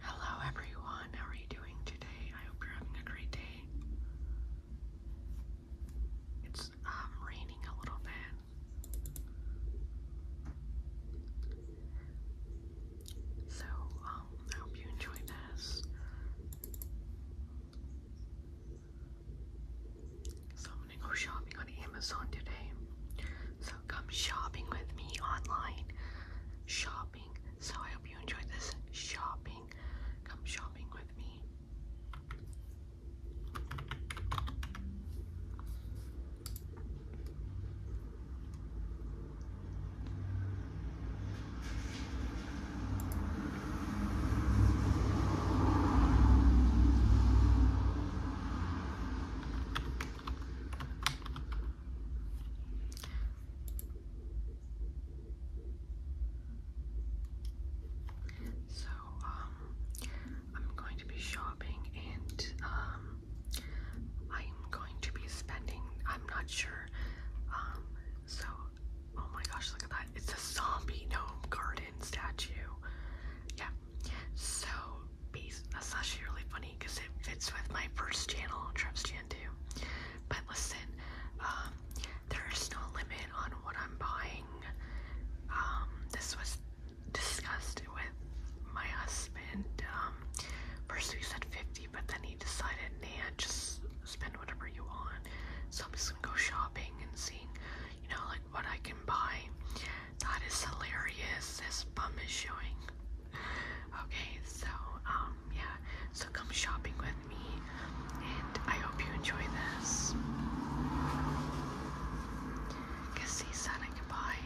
Hello everyone, how are you doing today? I hope you're having a great day. It's um, raining a little bit. So, um, I hope you enjoy this. So I'm gonna go shopping on Amazon today come shopping with me online. Shopping. So I hope you enjoyed this shopping. Come shopping with me. So, um, I'm going to be shopping and, um, I'm going to be spending, I'm not sure, um, so, oh my gosh, look at that. It's a zombie gnome garden statue. Yeah. So, based. That's actually really funny because it fits with my first channel, Trepstan too. But listen, um, there's no limit on what I'm buying. Um, this was discussed with my husband. Um, first we said 50, but then he decided, nah, just spend whatever you want. So I'm just gonna go shopping and seeing, you know, like what I can buy. That is hilarious. This bum is showing. Okay, so um yeah, so come shopping with me and I hope you enjoy this. Cause he said I can buy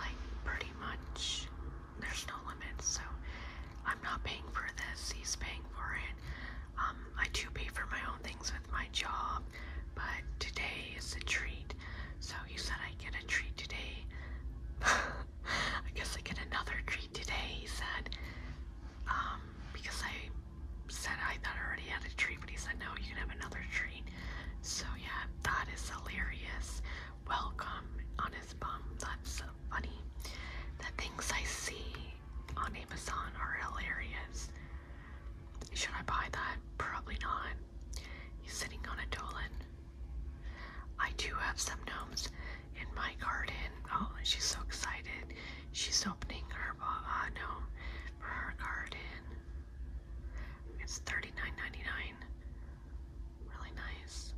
like pretty much there's no limits, so I'm not paying for this, he's paying for it. Um, I do pay for my own things with my job, but today is a treat. So so you said I get a treat today. I guess I get another treat today, he said. Um, because I said I thought I already had a treat, but he said no, you can have another treat. So yeah, that is hilarious. Welcome on his bum. That's so funny. The things I see on Amazon are hilarious. Should I buy that? Probably not. He's sitting on a dolin. I do have some gnomes in my garden. Oh, she's so excited. She's opening her uh, uh gnome for her garden. It's thirty nine ninety nine. Really nice.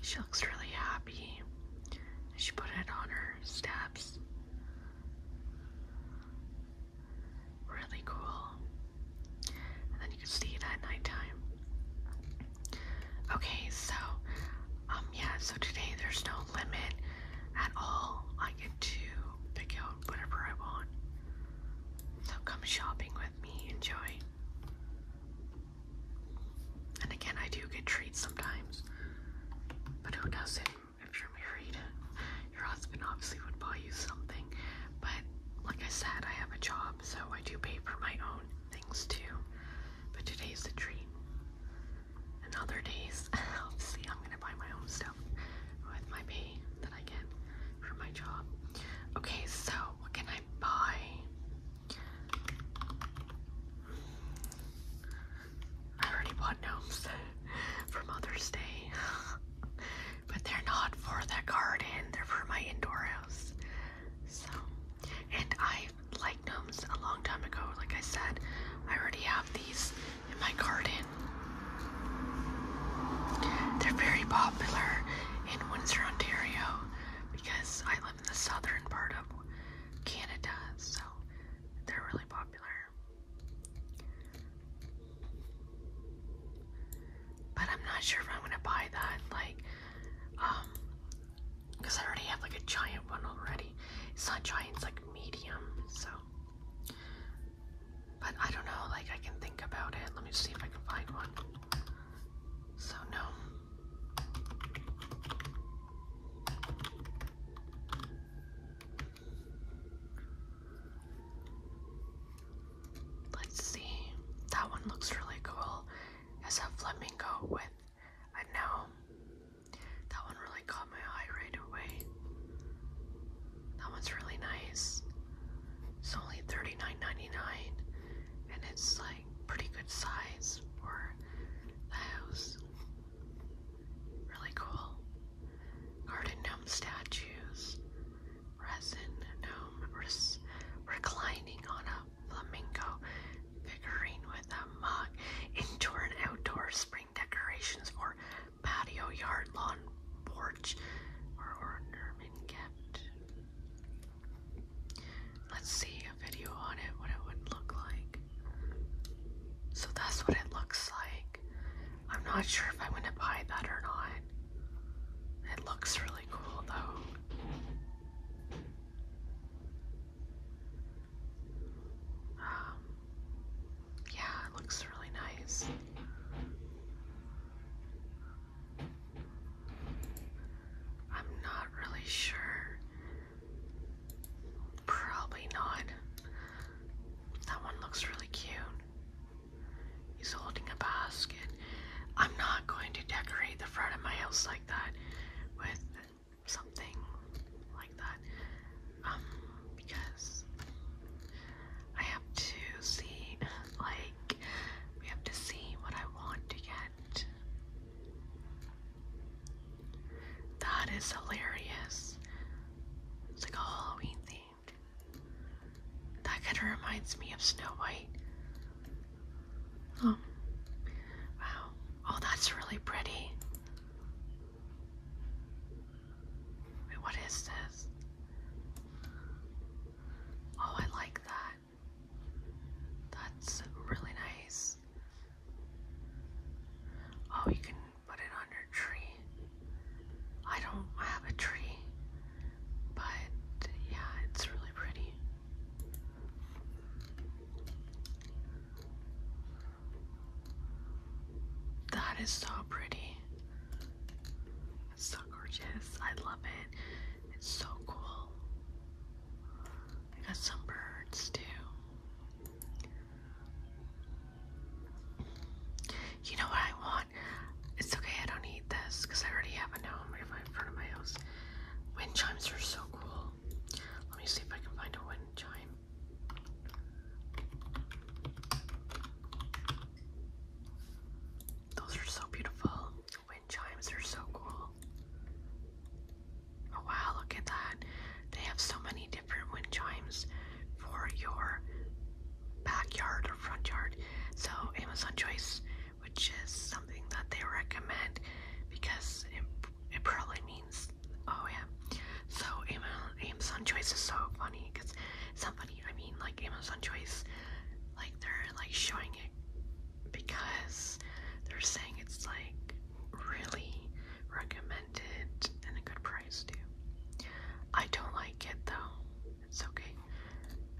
She looks really happy. She put it on her steps. Really cool. And then you can see it at nighttime. Okay, so, um, yeah, so today there's no limit at all. I get to pick out whatever I want. So come shopping with me, enjoy. And again, I do get treats sometimes, but who doesn't if you're married? your husband obviously would buy you something. But like I said, I have a job, so I do pay for my own things too. But today's a treat. And other days, obviously, I'm gonna buy my own stuff with my pay that I get from my job. Okay, so what can I buy? I already bought gnomes for Mother's Day. but they're not for the garden, they're for my indoor house. So, and I like gnomes a long time ago. Like I said, I already have these in my garden. They're very popular in Windsor, Ontario, because I live in the southern part of Canada, so they're really popular. But I'm not sure if I'm gonna buy that, like, um, because I already have like a giant one already. It's not giant, it's like medium, so. But I don't know, like, I can think about it. Let me see if I can find one. So, no. Let's see. That one looks really cool. It's a flamingo with a gnome. That one really caught my eye right away. That one's really nice. It's only $39.99 and it's like pretty good size for the house. Really cool. Garden gnome statues resin gnome reclining on a flamingo figurine with a mug. Indoor and outdoor spring decorations for patio, yard, lawn, porch, or ornament kept. Let's see a video on it, what it would look like. So that's what it looks like. I'm not sure if I'm gonna buy that or not. It looks really cool though. Um, yeah, it looks really nice. I'm not really sure. Probably not. That one looks really cute. He's holding a basket. I'm not going to decorate the front of my house like that with something like that. Um, because I have to see, like, we have to see what I want to get. That is hilarious. It's like a Halloween theme. That kind of reminds me of Snow White. Um, wow. Oh, that's really pretty. Wait, what is this? Oh, I like that. That's really nice. Oh, you can put it on your tree. I don't have a tree. But yeah, it's really pretty. That is so pretty. It's so gorgeous. I love it. It's so cool. I got some birds too. You know what I want? It's okay, I don't need this because I already have a now. i right in front of my house. Wind chimes are so cool. Let me see if I can find a wind chime. Those are so beautiful. The Wind chimes are so cool. Oh wow, look at that. They have so many different wind chimes for your backyard or front yard. So Amazon Choice, which is something that they recommend because it, it probably means, oh yeah. So Amazon Choice is so funny because somebody, I mean like Amazon Choice, like they're like showing it because they're saying it's like really recommended and a good price too. I don't like it though. It's okay.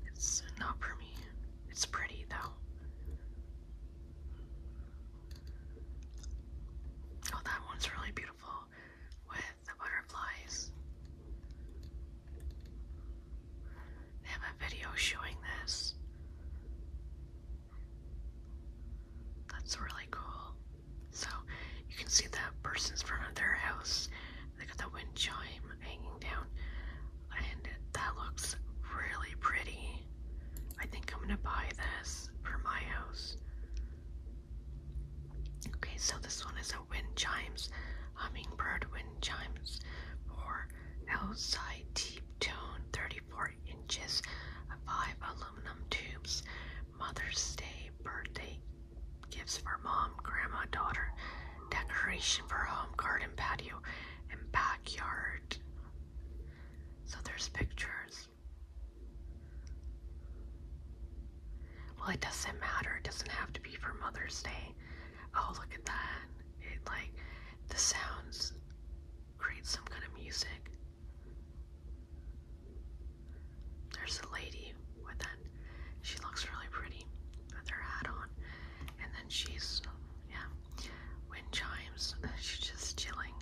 It's not for me. It's pretty though. Oh, that one's really beautiful with the butterflies. They have a video showing this. That's really cool. So you can see that person's front of their house they got the wind chime hanging down, and that looks really pretty. I think I'm gonna buy this for my house. Okay, so this one is a wind chimes, hummingbird wind chimes for outside deep tone, 34 inches, five aluminum tubes, Mother's Day birthday gifts for mom, grandma, daughter, decoration for home, garden, patio, and backyard. So there's pictures. Well, it doesn't matter. It doesn't have to be for Mother's Day. Oh, look at that. It like the sounds create some kind of music. There's a lady with that she looks really pretty with her hat on. And then she's, yeah, wind chimes. She's just chilling.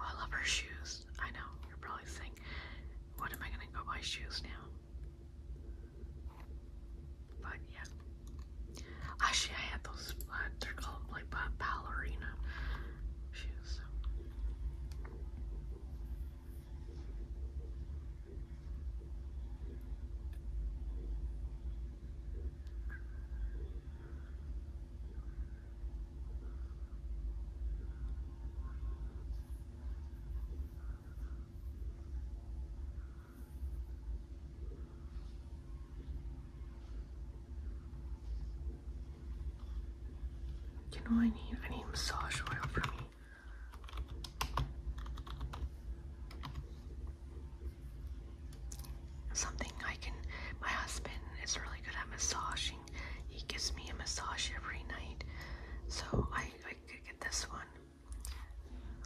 Oh, I love her shoes. I know, you're probably saying, what am I going to go buy shoes now? But yeah. Actually, I had those, uh, they're called like uh, ballerina shoes. You know I need I need massage oil for me. Something I can, my husband is really good at massaging. He gives me a massage every night. So I, I could get this one.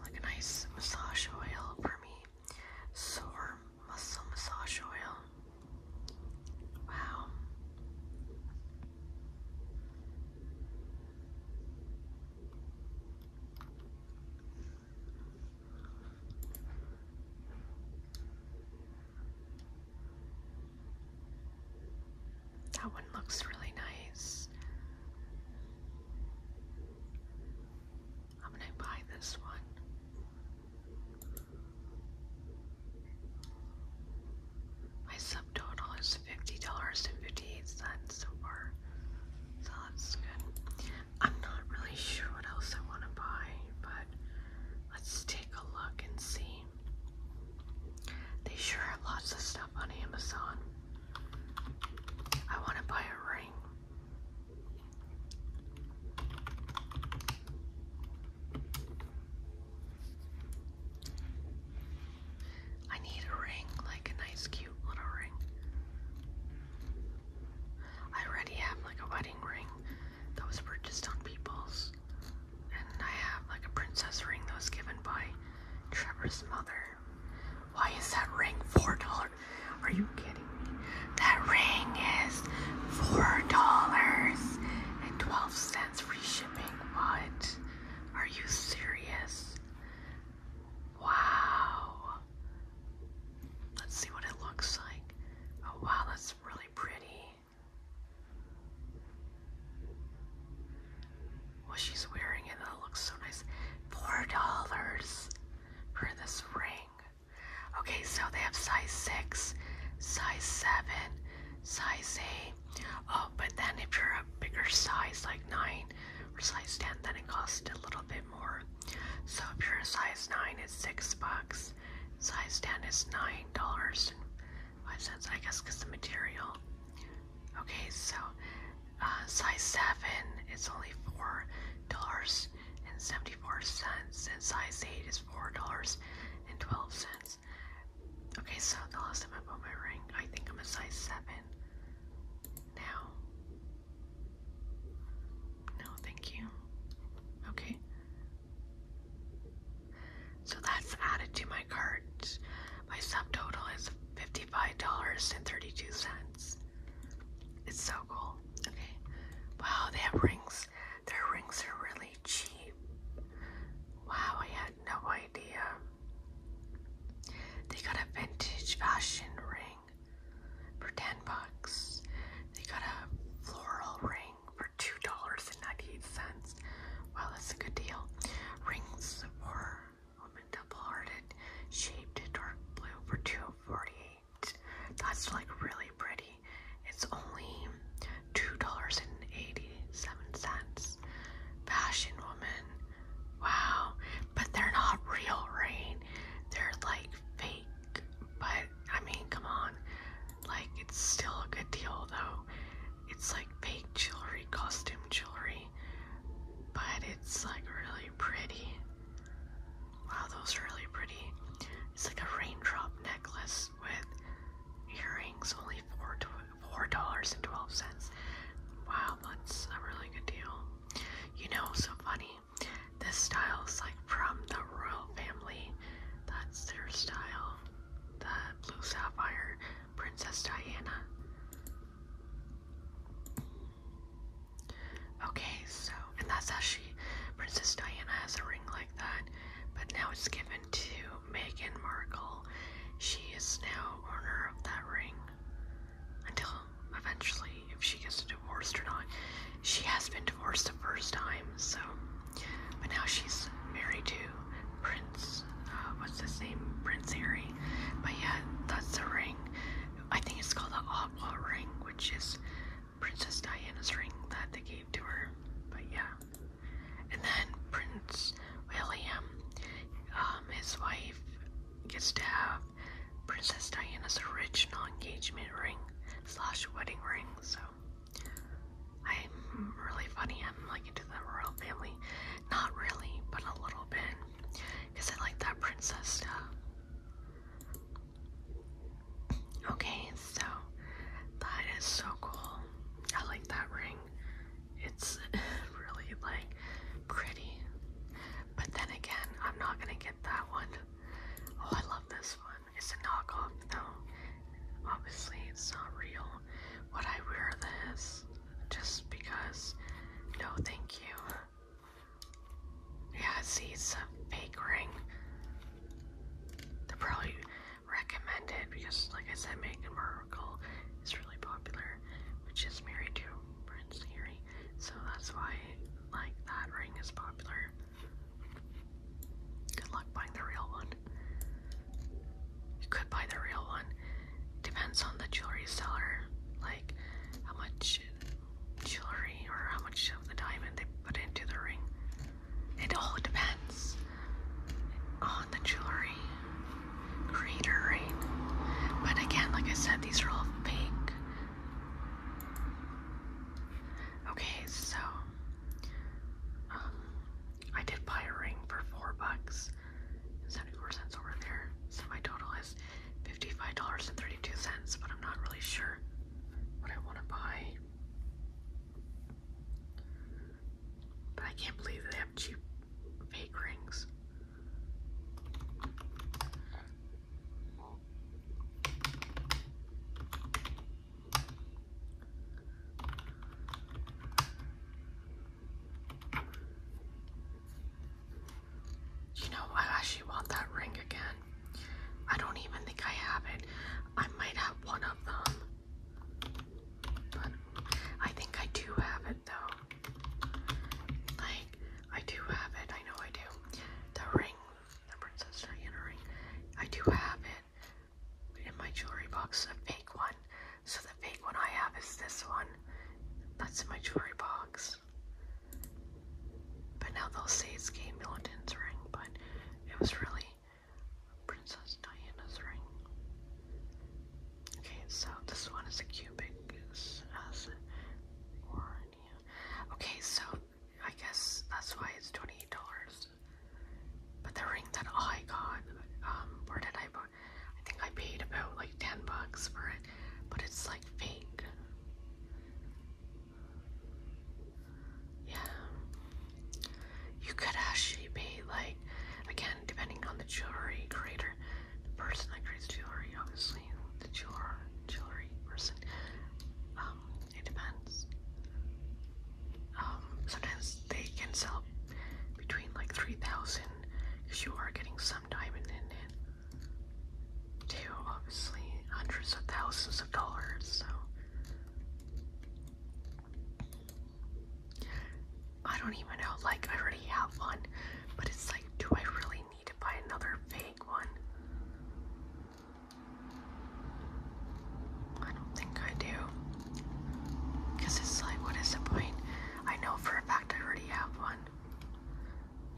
Like a nice massage oil for me. Sore muscle massage oil. Wow. That one looks really nice. I'm gonna buy this one. My subtotal is $50.58 so that's good. I'm not really sure what else I want to buy, but let's take a look and see. They sure have lots of stuff on Amazon. I want to buy a ring. I need a ring, like a nice key little ring. I already have like a wedding ring that was purchased on People's, and I have like a princess ring that was given by Trevor's mother. Why is that ring four dollars? Are you kidding me? That ring is four dollars and twelve cents free shipping. What? Are you serious? Wow. Let's see what it looks like. Oh, wow, that's really pretty. Well, she's wearing it, That looks so nice. Four dollars for this ring. Okay, so they have size six, size seven, size eight. Oh, but then if you're a bigger size, like nine, size 10, then it costs a little bit more. So if you're a size 9, it's 6 bucks. Size 10 is $9.05, I guess, because the material. Okay, so uh, size 7 is only $4.74, and size 8 is $4.12. Okay, so the last time I bought my ring, I think I'm a size 7. Now. No, thank you. Okay. So that's added to my cart. My subtotal is $55.32. It's so cool. Okay. Wow, they have rings. Their rings are really cheap. Wow, I had no idea. They got a vintage fashion ring for 10 bucks. They got a floral ring for $2.98. Wow, that's a good deal. Rings for woman double-hearted, shaped dark blue for $2.48. That's like really pretty. It's only $2.87. Fashion woman Wow. But they're not real rain. They're like fake. But I mean, come on. Like, it's still a good deal though. It's like fake jewelry, costume jewelry. But it's like really pretty. Wow, those are really pretty. It's like a raindrop necklace with earrings, only $4.12. Wow, that's a really good deal. You know, so funny. This style is like from the royal family. That's their style. The blue sapphire, Princess Diana. Okay, so, and that's how she, Princess Diana has a ring like that, but now it's given to Meghan Markle. She is now owner of that ring until eventually, if she gets divorced or not. She has been divorced the first time, so. But now she's married to Prince. Uh, what's the name? Prince Harry. But yeah, that's the ring. I think it's called the Aqua Ring, which is Princess Diana's ring that they gave to her. But yeah. And then Prince William, um, his wife, gets to have Princess Diana's original engagement ring slash wedding ring. So I'm really funny. I'm like into the royal family. Not really, but a little bit. Because I like that princess stuff. Okay, so that is so cool. I like that ring. It's really like pretty. But then again, I'm not gonna get that one. Oh, I love this one. It's a knockoff though. Obviously, it's not real. Would I wear this just because? No, thank you. Yeah, see, it's a fake ring. They're probably recommended because, like I said, Megan Markle is really popular, which is married too. Prince Harry. So that's why like that ring is popular. Good luck buying the real one. You could buy the real one. Depends on the jewelry seller, like how much jewelry or how much of the diamond they put into the ring. It all depends on the jewelry creator, right? But again, like I said, these are all fake Okay, so um, I did buy a ring for four bucks 74 cents over there. So my total is $55.32, but I'm not really sure what I want to buy. But I can't believe they have cheap fake rings. You know, I actually want that ring again. I don't even think I have it. I might have one of them, but I think I do have it it Like, I do have it. I know I do. The ring, the Princess Diana ring. I do have it in my jewelry box, a fake one. So the fake one I have is this one. That's in my jewelry box. But now they'll say it's Kate Middleton's ring, but it was really Princess Diana's ring. Okay, so this one is a cubic, as or Okay, so I guess that's why it's $28. But the ring that I got, um, where did I buy? I think I paid about like 10 bucks for it, but it's like fake. Yeah. You could actually pay like, again, depending on the jewelry creator, the person that creates jewelry, mostly the jewelry, jewelry person. Um, it depends. Um, sometimes they can sell between like 3,000 because you are getting some diamond in it to obviously hundreds of thousands of dollars. So I don't even know. Like I already have one, but it's like, do I really I need to buy another fake one. I don't think I do. Because it's like, what is the point? I know for a fact I already have one.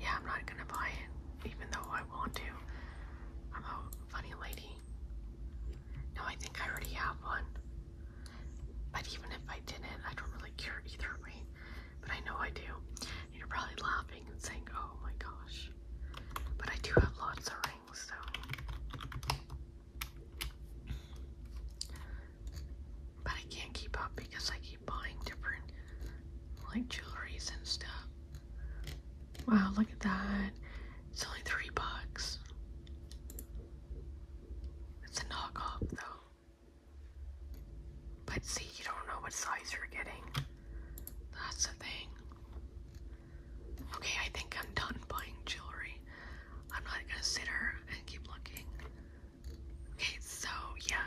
Yeah, I'm not gonna buy it, even though I want to. I'm a funny lady. No, I think I already have one. But even if I didn't, I don't really care either way. But I know I do. You're probably laughing oh my gosh. But I do have lots of rings, so. But I can't keep up because I keep buying different, like, jewelries and stuff. Wow, look at that. It's only three bucks. It's a knockoff, though. But see, you don't know what size you're getting. That's the thing. Okay, I think I'm done buying jewelry. I'm not gonna sit here and keep looking. Okay, so yeah,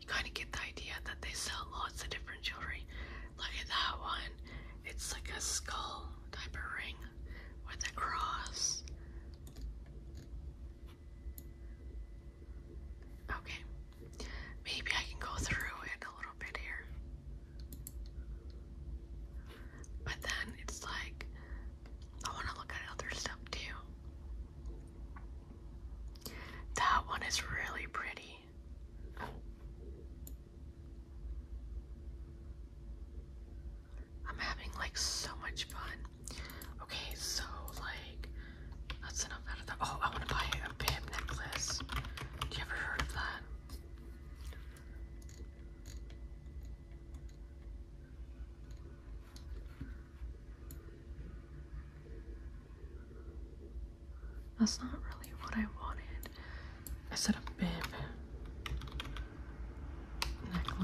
you kind of get the idea that they sell lots of different jewelry. Look at that one. It's like a skull type of ring with a cross. Okay, maybe I can go through it a little bit here. But then it's like, I want to look at other stuff too. That one is really pretty. I'm having like so much fun. Okay, so like that's enough Oh, I want to buy a bib necklace. Do you ever heard of that? That's not really what I wanted. I said a bib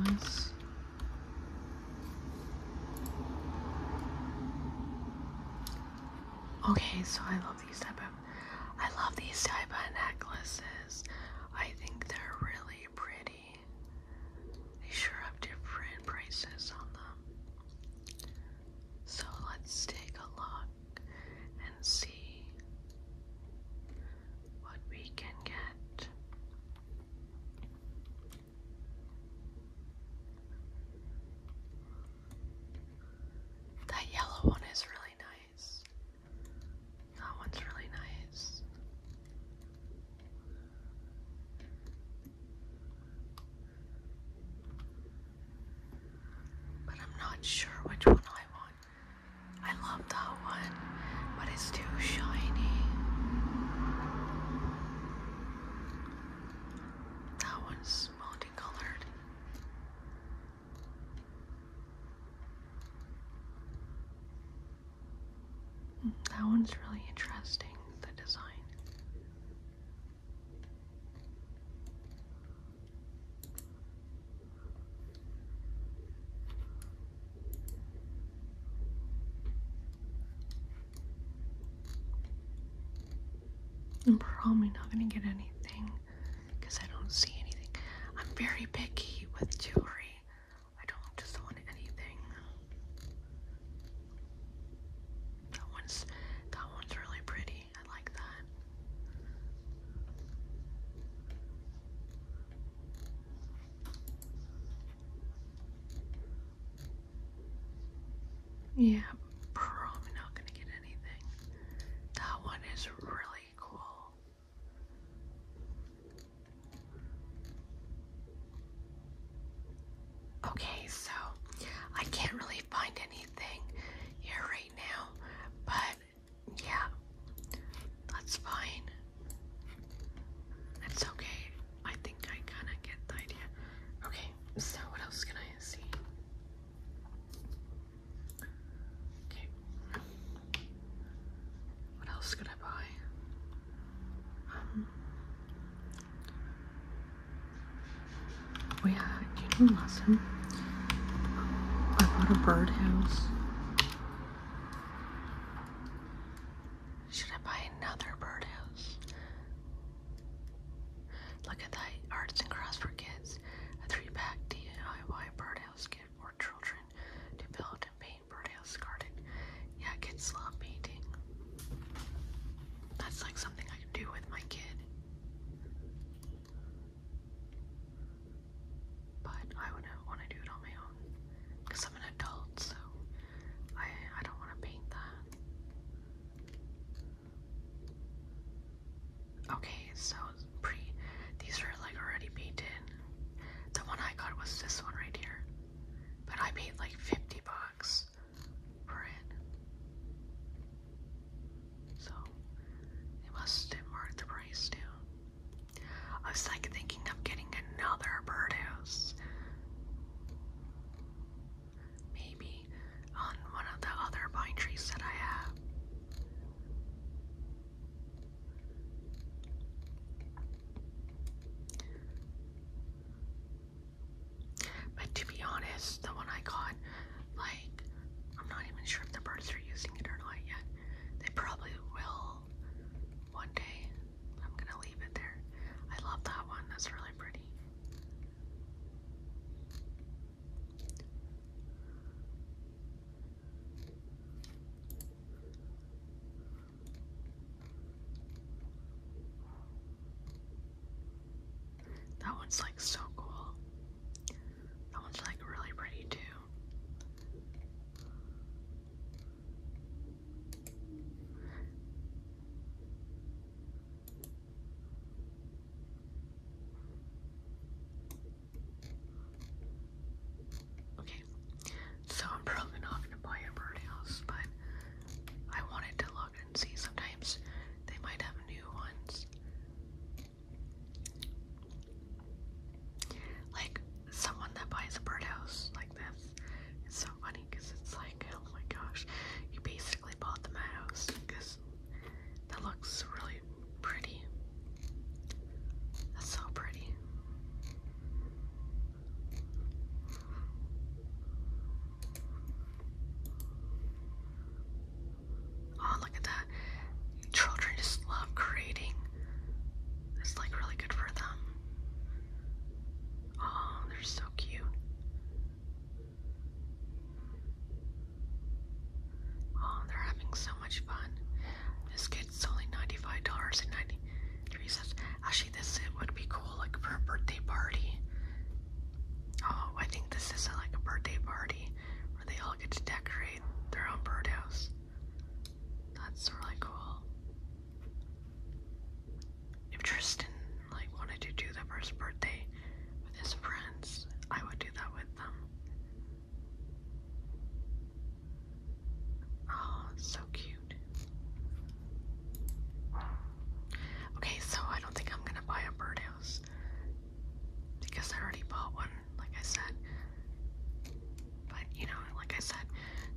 necklace. Okay, so I love these type of I love these type of necklaces. I think they're really pretty. They sure have different prices on them. So let's take a look and see what we can get. That yellow one is really nice. That one's really nice. But I'm not sure which one I want. I love that one, but it's too shiny. That one's multicolored. That one's really interesting, the design. I'm probably not gonna get anything because I don't see anything. I'm very picky with jewelry. I don't just want anything. That one's that one's really pretty. I like that. Yeah, probably not gonna get anything. That one is really cool. Okay, so I can't really find anything here right now, but yeah, that's fine. That's okay. I think I kind of get the idea. Okay, so what else can I see? Okay. What else can I buy? Um we had you know last time I bought a birdhouse. Should I buy another birdhouse? Look at that arts and crafts for kids, a three-pack DIY birdhouse kit for children to build and paint birdhouse garden. Yeah, kids love painting. That's like something I can do with my kid. But I wouldn't want to do it on my own because I'm an adult, so I I don't want to paint that. Okay, so pre these are like already painted. The one I got was this one right here. But I paid like 50 bucks for it. So it must have marked the price too. I was like thinking of getting another birdhouse. Maybe on one of the other pine trees that I have. But to be honest, the one I got, like, I'm not even sure if the birds are using it or not yet. They probably will one day. I'm gonna leave it there. I love that one, that's really pretty. That one's like so cool. That one's like really pretty too. Okay, so I'm probably not gonna buy a birdhouse, but I wanted to look and see. Sometimes they might have new ones. Like someone that buys a birdhouse like this, it's so funny because it's like oh my gosh, you basically bought them at house because that looks really pretty. That's so pretty. Oh, look at that. Children just love creating. It's like really good for them. Oh, they're so cute. Oh, they're having so much fun. This kid's only $95.93. Actually, this would be cool, like for a birthday party. Oh, I think this is a, uh, like a birthday party where they all get to decorate their own birdhouse. That's really cool. If Tristan like wanted to do the first birthday with his friends, I would do that with them. Oh, so cute. Okay, so I don't think I'm gonna buy a birdhouse because I already bought one, like I said. But you know, like I said,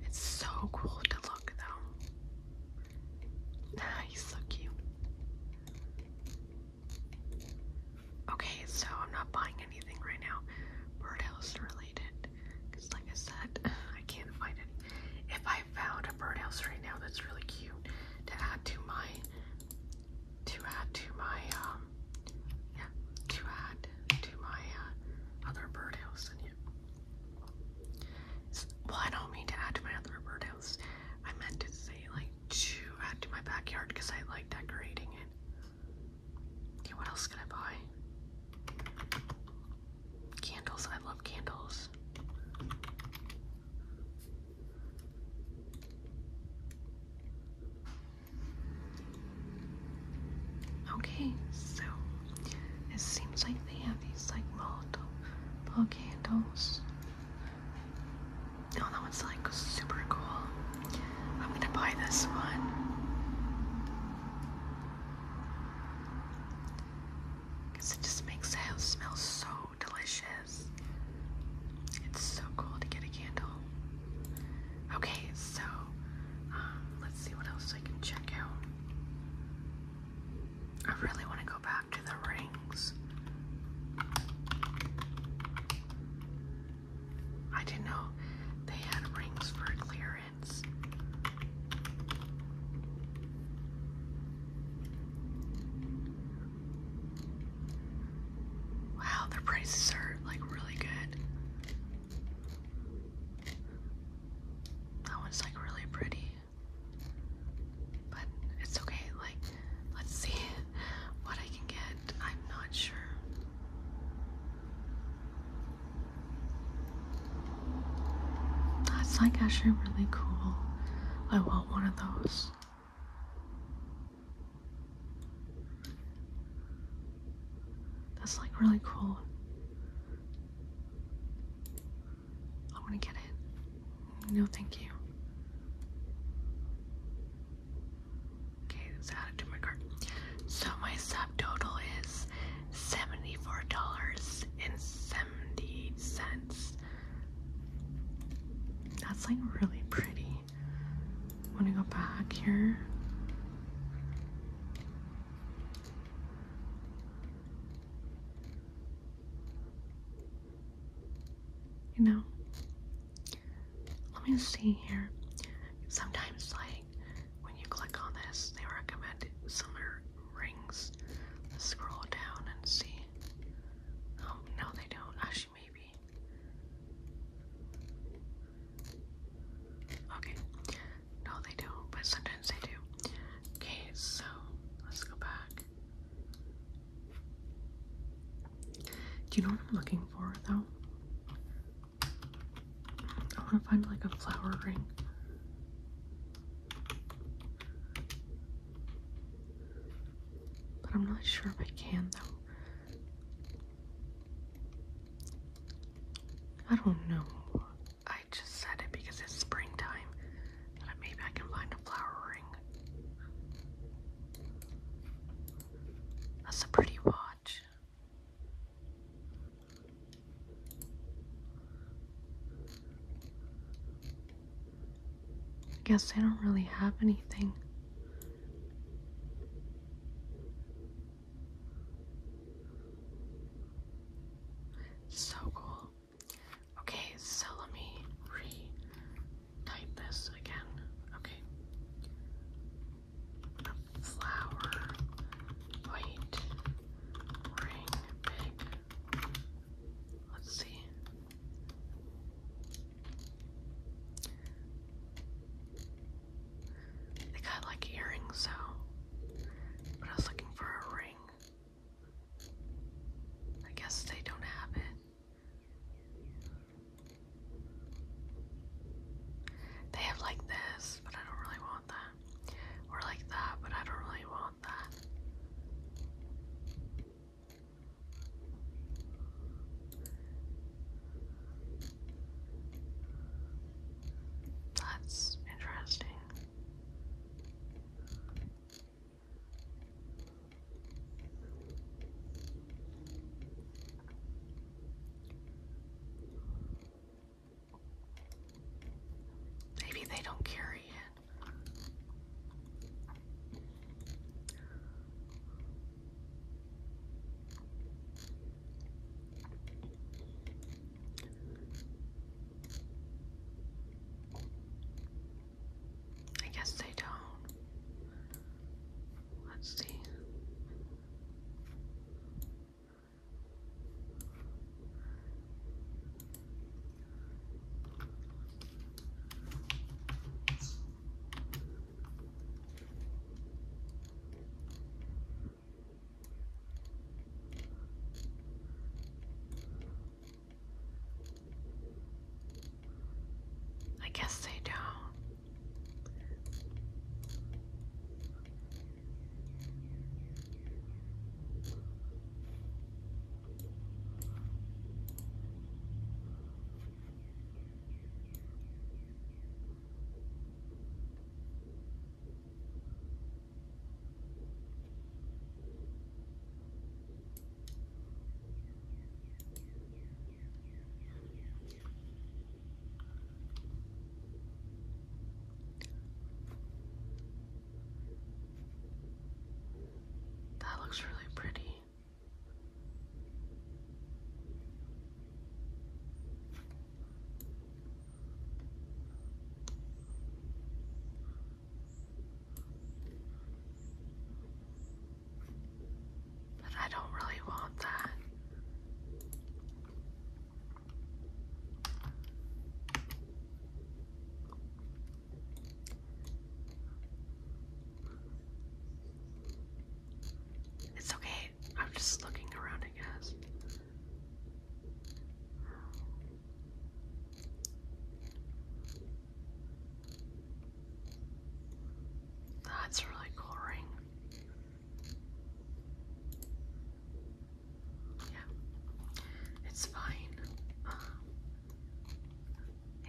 it's so cool to look though. He's so cute. Okay, so I'm not buying anything right now, birdhouse related, because like I said, I can't find it. If I found a birdhouse right now that's really cute to add to my, to add to my, um, yeah, to add to my uh, other birdhouse in Well, I don't mean to add to my other birdhouse. I meant to say like to add to my backyard because I like decorating it. Okay, what else can I buy? Candles. I love candles. Okay, so it seems like they have these like Molotov candles. Oh, that one's like super cool. I'm gonna buy this one. Because it just makes the house smell so delicious. It's so cool to get a candle. Okay, so um, let's see what else I can check out. I really want to go back to the rings. I didn't know they had rings for clearance. Wow, their prices are like really good. That one's like really pretty. But it's okay, like, let's see what I can get. I'm not sure. That's like actually really cool. I want one of those. That's like really cool. I want to get it. No, thank you. Okay, let's add it to my cart. So my subtotal is seventy-four dollars and seventy cents. That's like really pretty. i to go back here. You know? Let me see here. Sometimes, like, when you click on this, they recommend similar rings. scroll down and see. Um, no, they don't. Actually, maybe. Okay. No, they don't, but sometimes they do. Okay, so let's go back. Do you know what I'm looking for though? I want to find like a flower ring. But I'm not sure if I can though. I don't know. I just said it because it's springtime. and Maybe I can find a flower ring. That's a pretty watch. I guess I don't really have anything. So cool. Okay, so let me re-type this again. Okay. Flower, white, ring, big. Let's see. They got like earrings, so. But I was looking for a ring. I guess they don't have it. They have like this, but I don't really want that. Or like that, but I don't really want that. That's interesting. Maybe they don't carry it. I guess they don't. Let's see. I guess they don't. That looks really pretty. But I don't really want that. It's okay, I'm just looking around, I guess. That's really cool ring. Yeah, it's fine. Uh,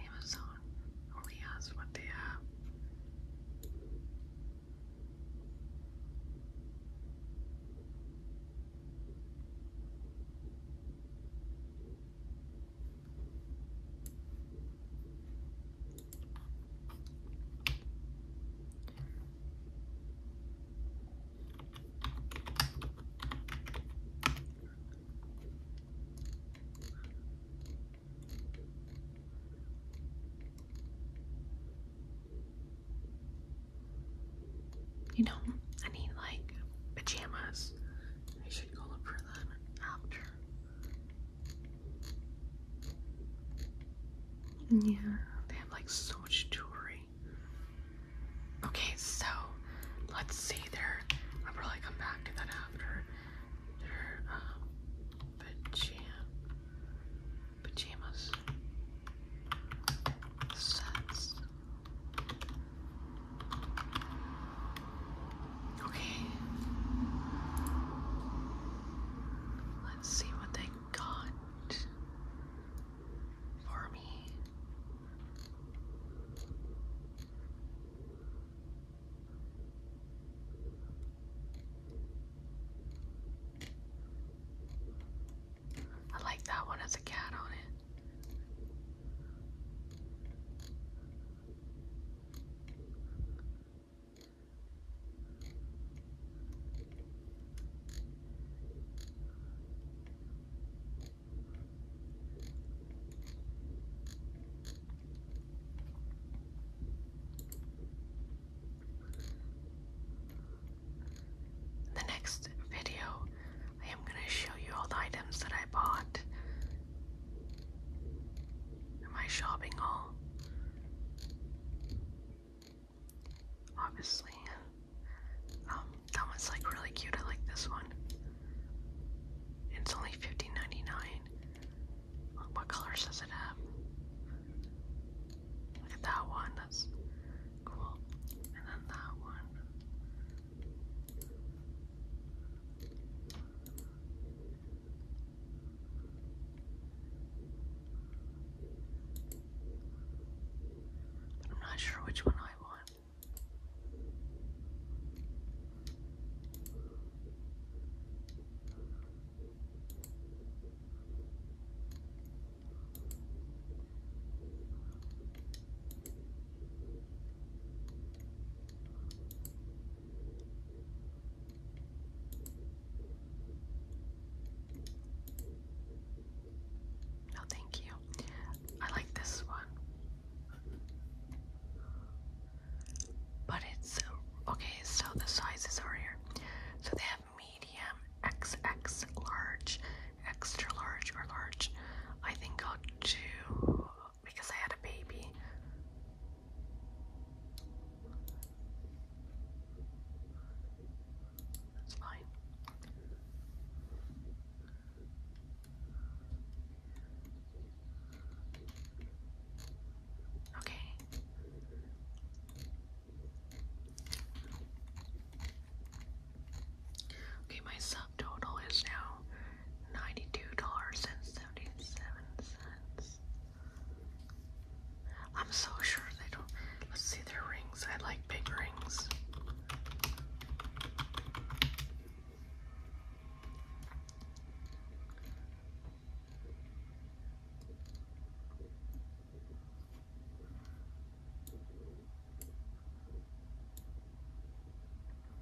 Amazon only has what they have. You know, I need like pajamas. I should go look for them after yeah, they have like so much jewelry. Okay, so let's see their. I'll probably come back to that after their um, pajamas sets. Okay. Let's see what they got for me. I like that one, has a cat on it. In the next video, I am going to show you all the items that I bought Am shopping all? Obviously. Um, that one's like really cute. I like this one. It's only 15 What colors does it have? Look at that one. That's cool. And then that one. But I'm not sure which one I want. No, thank you. I like this one. But it's uh, okay, so the sizes are here. So they have medium, XX, large, extra large, or large. I think I'll do because I had a baby. That's fine. Okay. Okay, my subtotal is now ninety-two dollars and seventy-seven cents. I'm so sure they don't. Let's see their rings. I like big rings.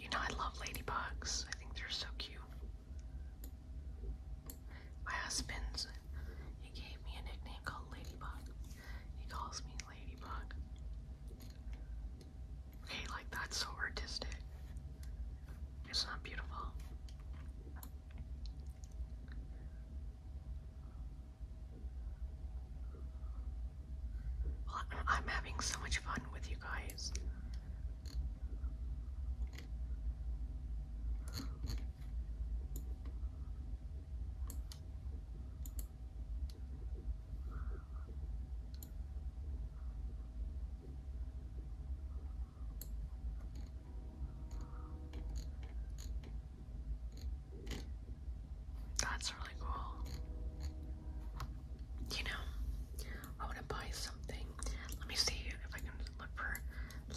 You know, I love ladybugs. I think they're so cute. My husband's, he gave me a nickname called Ladybug. He calls me Ladybug. Okay, like that's so artistic. It's not beautiful. I'm having so much fun with you guys. That's really cool. You know, I want to buy something. Let me see if I can look for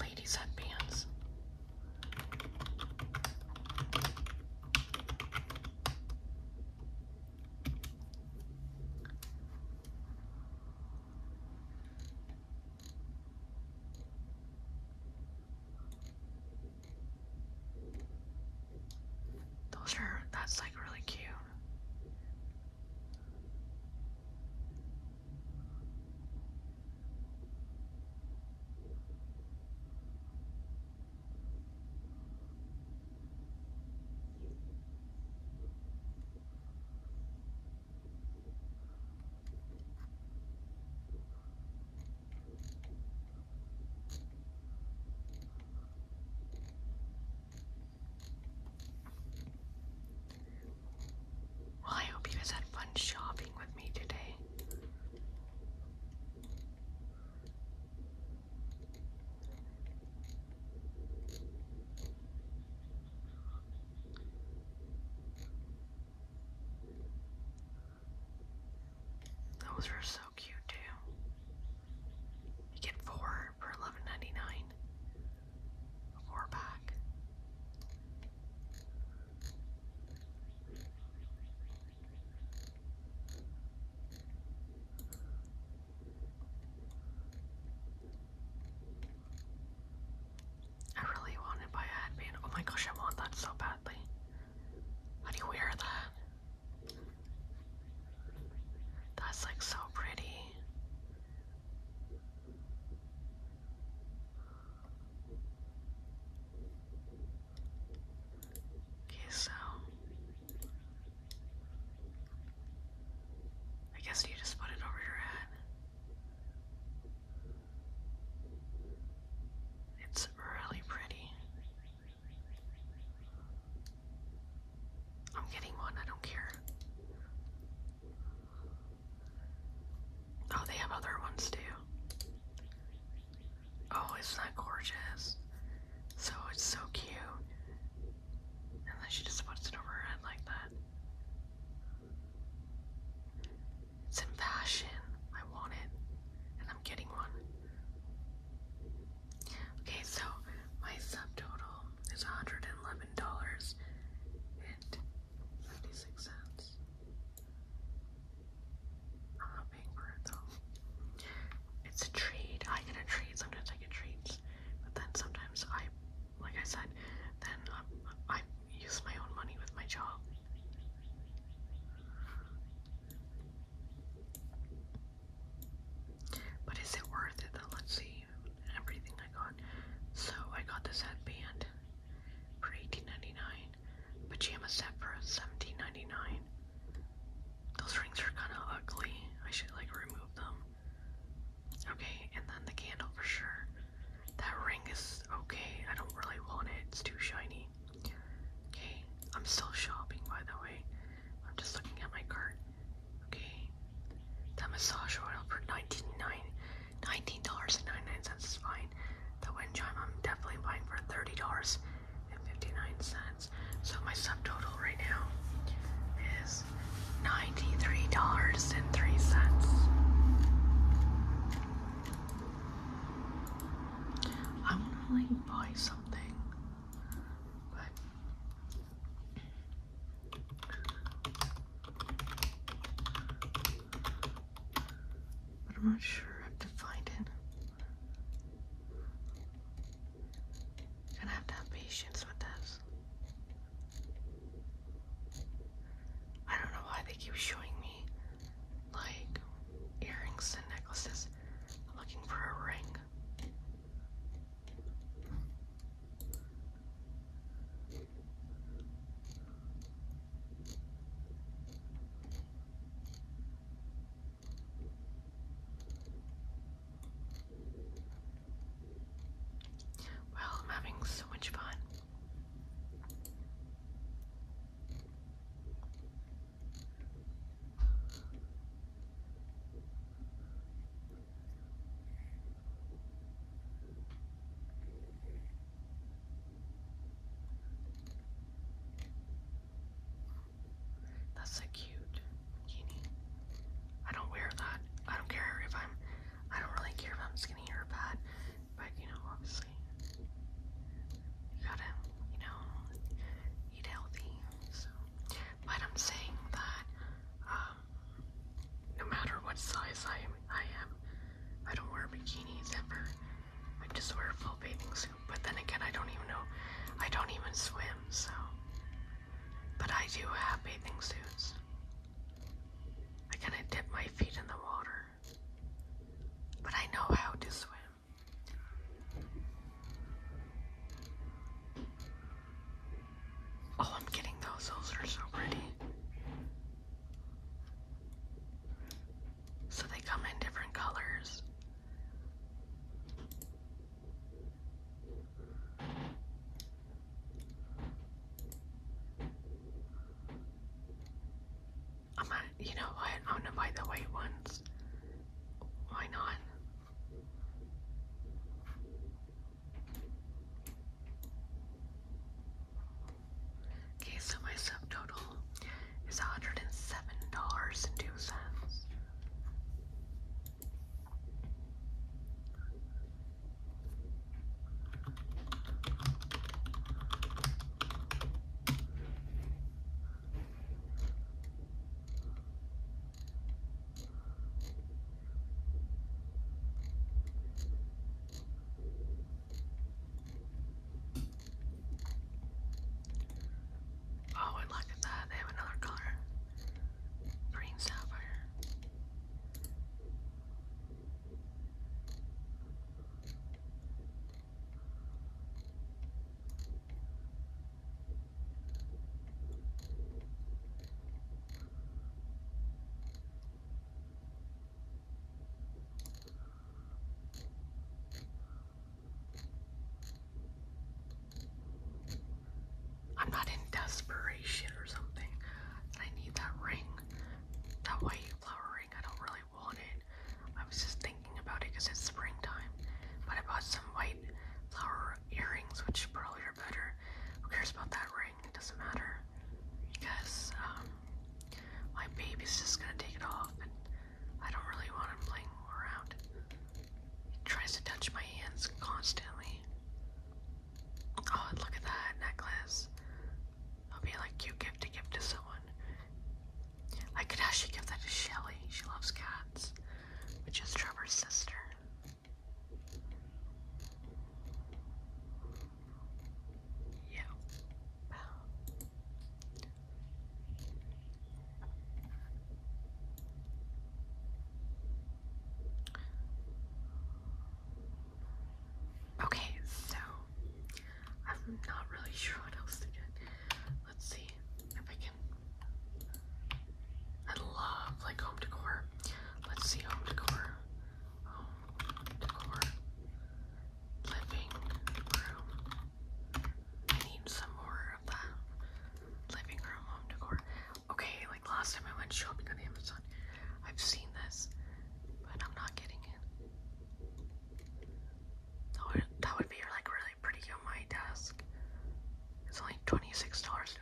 ladies' headbands. Those are, that's like really cute. Well, I hope you guys had fun shopping with me today. Those were so cute too. You get four for eleven ninety nine. four pack. I really wanted buy a headband. Oh my gosh, I want that so badly. How do you wear that? That's like so pretty. Okay, so I guess you just put it over your head. It's really pretty. I'm getting one, I don't care. Oh, they have other ones too. Oh, it's not gorgeous. So it's so cute. And then she just puts it over her head like that. It's in fashion. I want it. And I'm getting one. Okay, so my subtotal is $111 and 56 cents. I'm not paying for it though. It's a treat. I get a trade. Sometimes I get treats, But then sometimes I like I said, then I, I use my own money with my job. But is it worth it Let's see everything I got. So I got this headband for 18 Pajama set for 17 Those rings are kind of ugly. I should like remove them. Okay, and then the candle for sure. That ring is okay. I don't really want it. It's too shiny. Okay, I'm still shopping by the way. I'm just looking at my cart. Okay, that massage oil for $19.99 $19.99 is fine. The wind chime I'm definitely buying for $30.59. So my subtotal right now is $9 $93.03. I want to like buy something, but I'm not sure I to find it. Gonna have to have patience with this. I don't know why they keep showing me like earrings and necklaces. looking for a ring. Well, I'm having so much fun. That's so cute, Kini. I don't wear that. I don't care if I'm. I don't really care if I'm skinny or fat but you know, obviously, you gotta, you know, eat healthy. So, but I'm saying that um, no matter what size I am, I am, I don't wear bikinis ever. I just wear full bathing suits. But then again, I don't even know, I don't even swim. So, but I do have bathing suits. I kind of dip my feet in the water. But I know how to swim. Oh, I'm getting those. Those are so pretty. So they come in different colors. I'm you know what? I'm gonna buy the white ones. Why not? Okay, so my subtotal is $107.02. Oh, I like that. They have another color. Green sapphire. I'm not in desperation or something. I need that ring, that white flower ring. I don't really I wanted. I was just thinking about it because it's springtime. But I bought some white flower earrings, which probably are better. Who cares about that ring? It doesn't matter. Because um, my baby's just going to take it off. And I don't really want him playing around. He tries to touch my hands constantly. Oh, look at that necklace. It'll be like cute gift to give to someone. I could actually give that to Shelly. She loves cats, which is Trevor's sister. Yeah. Okay, so I'm not really sure what else to get. Let's see if I can. I love like home decor. Let's see home decor. Home decor. Living room. I need some more of that. Living room home decor. Okay, like last time I went shopping on Amazon, I've seen this, but I'm not getting it. That would, be like really pretty on my desk. It's only $26.99.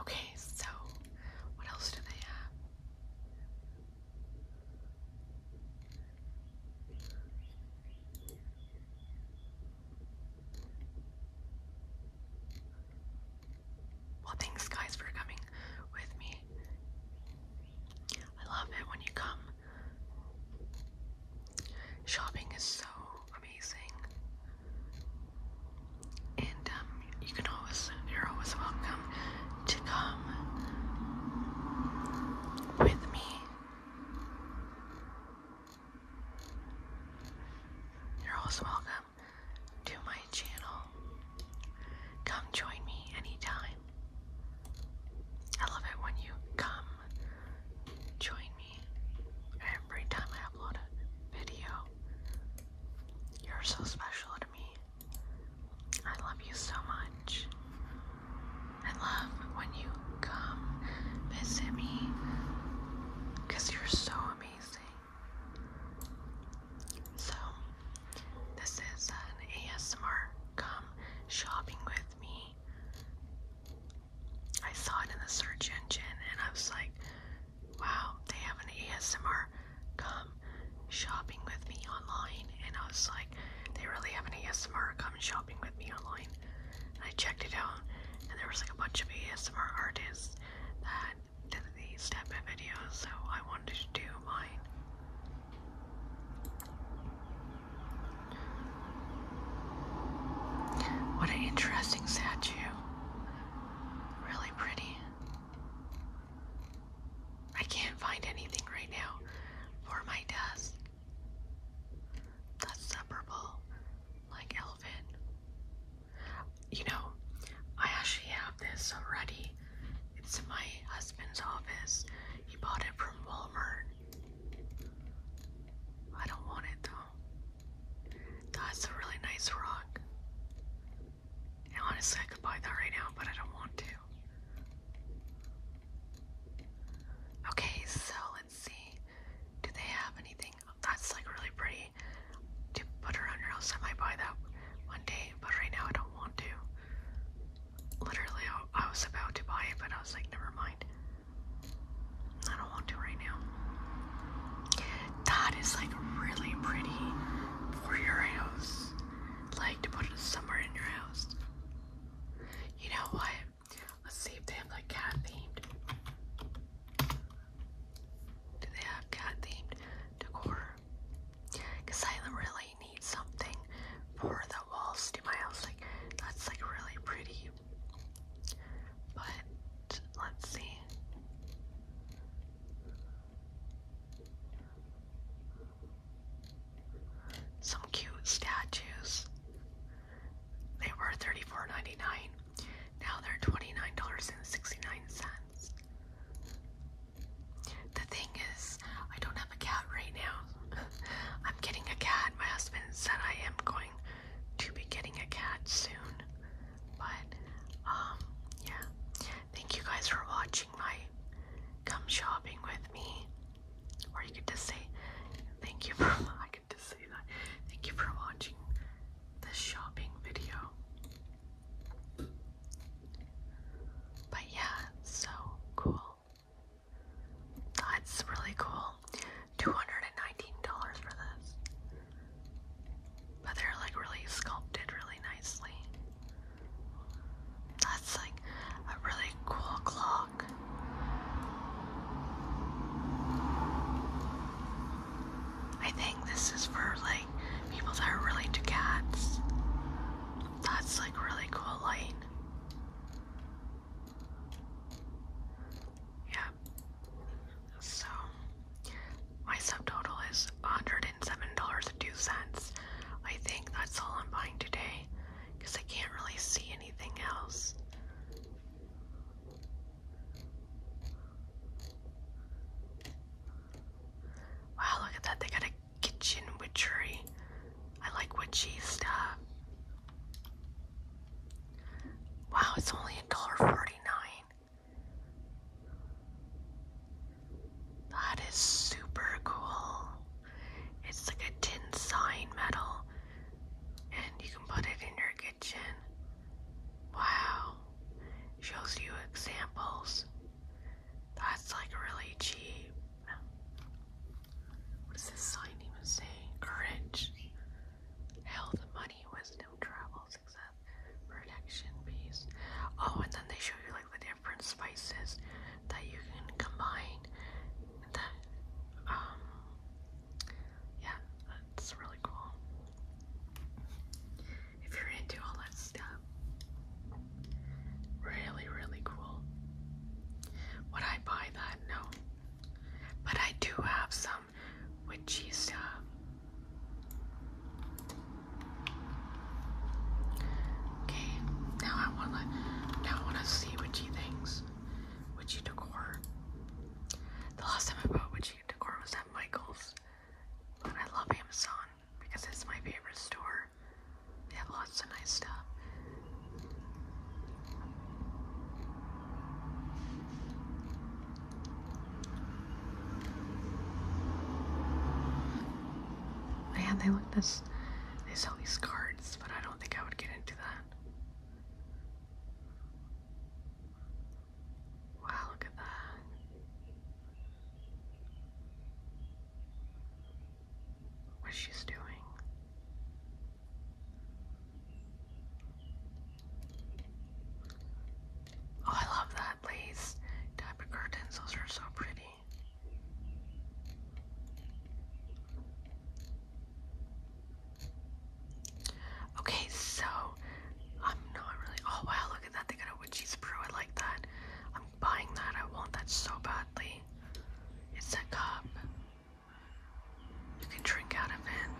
Okay, so what else do they have? Well, thanks guys for coming with me. I love it when you come. Shopping is so amazing and um, you can always, you're always welcome to come with me. You're also welcome to my channel. Come join me anytime. I love it when you come join me every time I upload a video. You're so special to me. I love you so much. I love when you come visit me because you're so amazing. So, this is an ASMR come shopping with me. I saw it in the search engine and I was like, wow, they have an ASMR come shopping with me online and I was like they really have an ASMR come shopping with me online and I checked it out and there was like a bunch of ASMR artists that did these type of videos so I wanted to do mine. What an interesting statue. Really pretty. I can't find anything right now for my desk that's separable, like Elvin. You know, I actually have this already. It's in my husband's office. He bought it from Walmart. I don't want it though. That's a really nice rock honestly, I could buy that right now, but I don't want to. Okay, so let's see. Do they have anything? That's like really pretty to put around your house. I might buy that one day, but right now I don't want to. Literally, I was about to buy it, but I was like, never mind. I don't want to right now. That is like really pretty for your house like to put it somewhere in your house. You know what? Let's see if they have like cat themed. Do they have cat themed decor? Because I really need something for the walls to my house. Like, that's like really pretty. But let's see. Some cute statues. They were $34.99. Now they're $29.69. The thing is, I don't have a cat right now. I'm getting a cat. My husband said I am going to be getting a cat soon. But, um, yeah. Thank you guys for watching come shopping with me. Or you could just say, thank you for, I could just say that, thank you for watching this shopping video. But yeah, so cool. That's really cool. $219 for this. But they're like really sculpted really nicely. That's like a really cool clock. I think this is for like people that are really into cats. That's like really cool light. Yeah. So my subtotal is $107.02. I think that's all I'm buying today because I can't really see anything else. Wow, look at that. They got a kitchen witchery. I like witchy stuff. Wow, it's only $1.49. That is super cool. It's like a tin sign metal, and you can put it in your kitchen. Wow, shows you examples. That's like really cheap. What does this sign even say? Courage, health, money, wisdom, travel, success, protection, peace. Oh, and then they show you like the different spices that you can combine. Um, yeah, that's really cool. If you're into all that stuff, really, really cool. Would I buy that? No. But I do have some with stuff. Okay, now I wanna now I wanna see what she thinks. Witchy decor. The last time I bought Witchy decor was at Michael's. But I love Amazon because it's my favorite store. They have lots of nice stuff. Man, they look this they sell these cards, but I don't think I would get into that. Wow, look at that. What she's doing. Oh, I love that lace type of curtains. Those are so pretty. Okay, so I'm not really. Oh wow, look at that. They got a witchy's brew. I like that. I'm buying that. I want that so badly. It's a cup. You can drink out of it.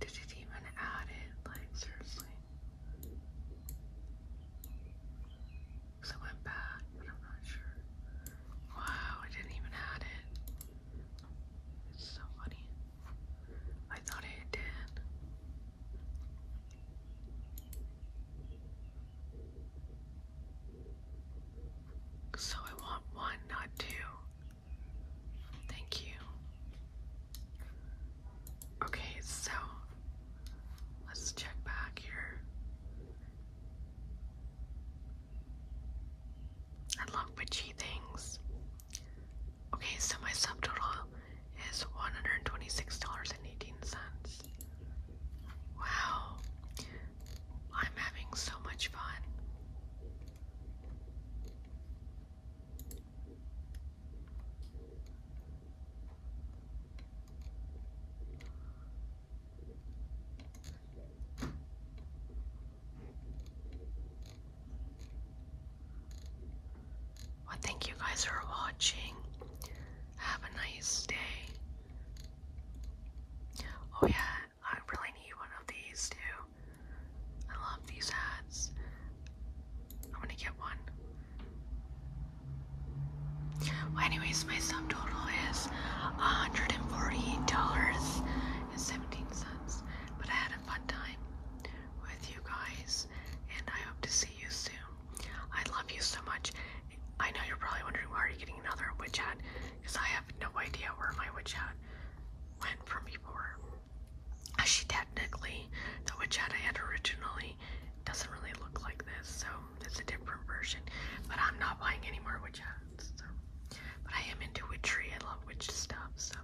Did it even add it? Like, seriously. Because I went back, but I'm not sure. Wow, I didn't even add it. It's so funny. I thought it did. So I want one, not two. Thank you. Okay, so let's check back here. I love witchy things. Okay, so my subtotal is $126.18. Wow, I'm having so much fun. Well, thank you guys for watching. Have a nice day. Oh, yeah, I really need one of these too. I love these ads. I'm gonna get one. Well, anyways, my subtotal is $148.17, but I had a fun time with you guys, and I hope to see you soon. I love you so much. I know you're probably wondering why are you getting another witch hat? Because I have no idea where my witch hat went from before. She technically, the witch hat I had originally doesn't really look like this, so it's a different version. But I'm not buying any more witch hats. So. But I am into witchery. I love witch stuff. So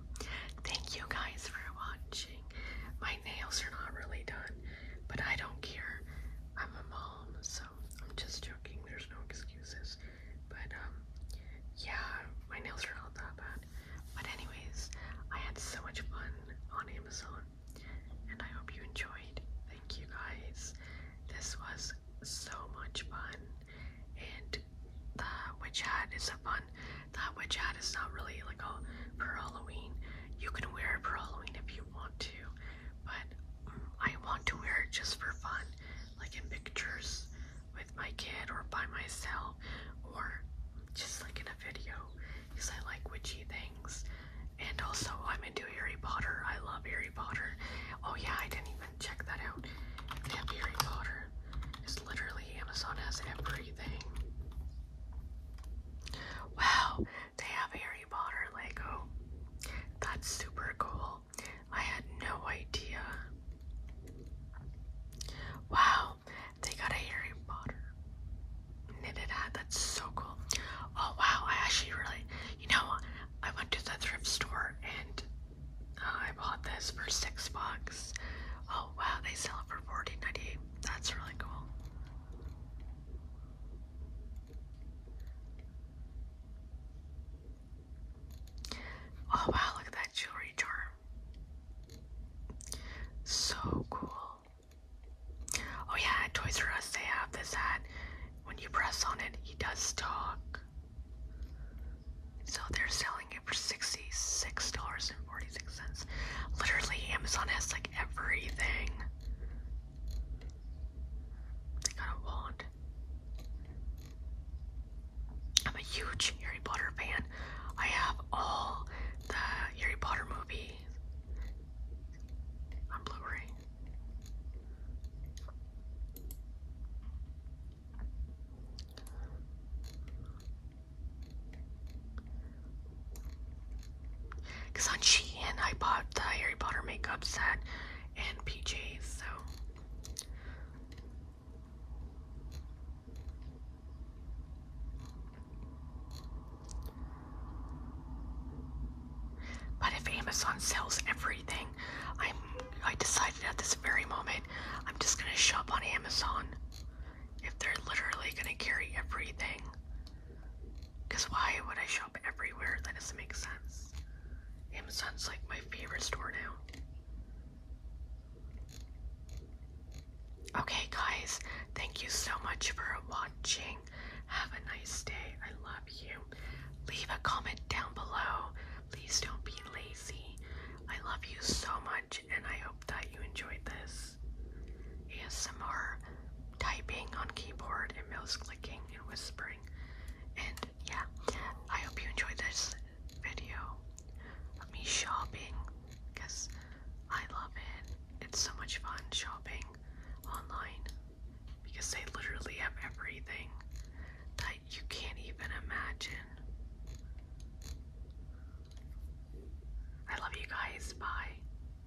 thank you guys for watching. My nails are not really done. But I don't care. I'm a mom, so I'm just joking. There's no excuses. But, um, yeah, my nails are not that bad. But, anyways, I had so much fun on Amazon, and I hope you enjoyed. Thank you guys. This was so much fun, and the witch hat is a fun. The witch hat is not really like a for Halloween. You can wear it for Halloween if you want to, but um, I want to wear it just for fun, like in pictures with my kid or by myself or just like in a video because I like witchy things. And also, I'm into Harry Potter. I love Harry Potter. Oh yeah, I didn't even check that out. They have Harry Potter. It's literally Amazon has everything. Wow, to have Harry Potter Lego. That's super cool. I had no idea. Wow, they got a Harry Potter knitted hat. That's so cool. Oh wow, I actually really, you know, I went to the thrift store and uh, I bought this for six bucks. Oh wow, they sell it for 14 dollars That's really cool. Oh wow, look at that jewelry charm. So cool. Oh yeah, at Toys R Us they have this hat. When you press on it, he does talk. So they're selling it for $66.46. Literally, Amazon has like everything. I got a wand. I'm a huge Harry Potter fan. I have all the Harry Potter movies on Blu-ray. Because on Shein, I bought the Harry Potter makeup set and PJs, so. But if Amazon sells everything, I'm I decided at this very moment I'm just gonna shop on Amazon. If they're literally gonna carry everything. Because why would I shop everywhere? That doesn't make sense. Amazon's like my favorite store now. Okay, guys, thank you so much for watching. Have a nice day. I love you. Leave a comment down below. Please don't be lazy. I love you so much, and I hope that you enjoyed this ASMR typing on keyboard and mouse clicking and whispering. And yeah, I hope you enjoyed this video of me shopping because I love it. It's so much fun shopping online because they literally have everything that you can't even imagine. I love you guys. Bye.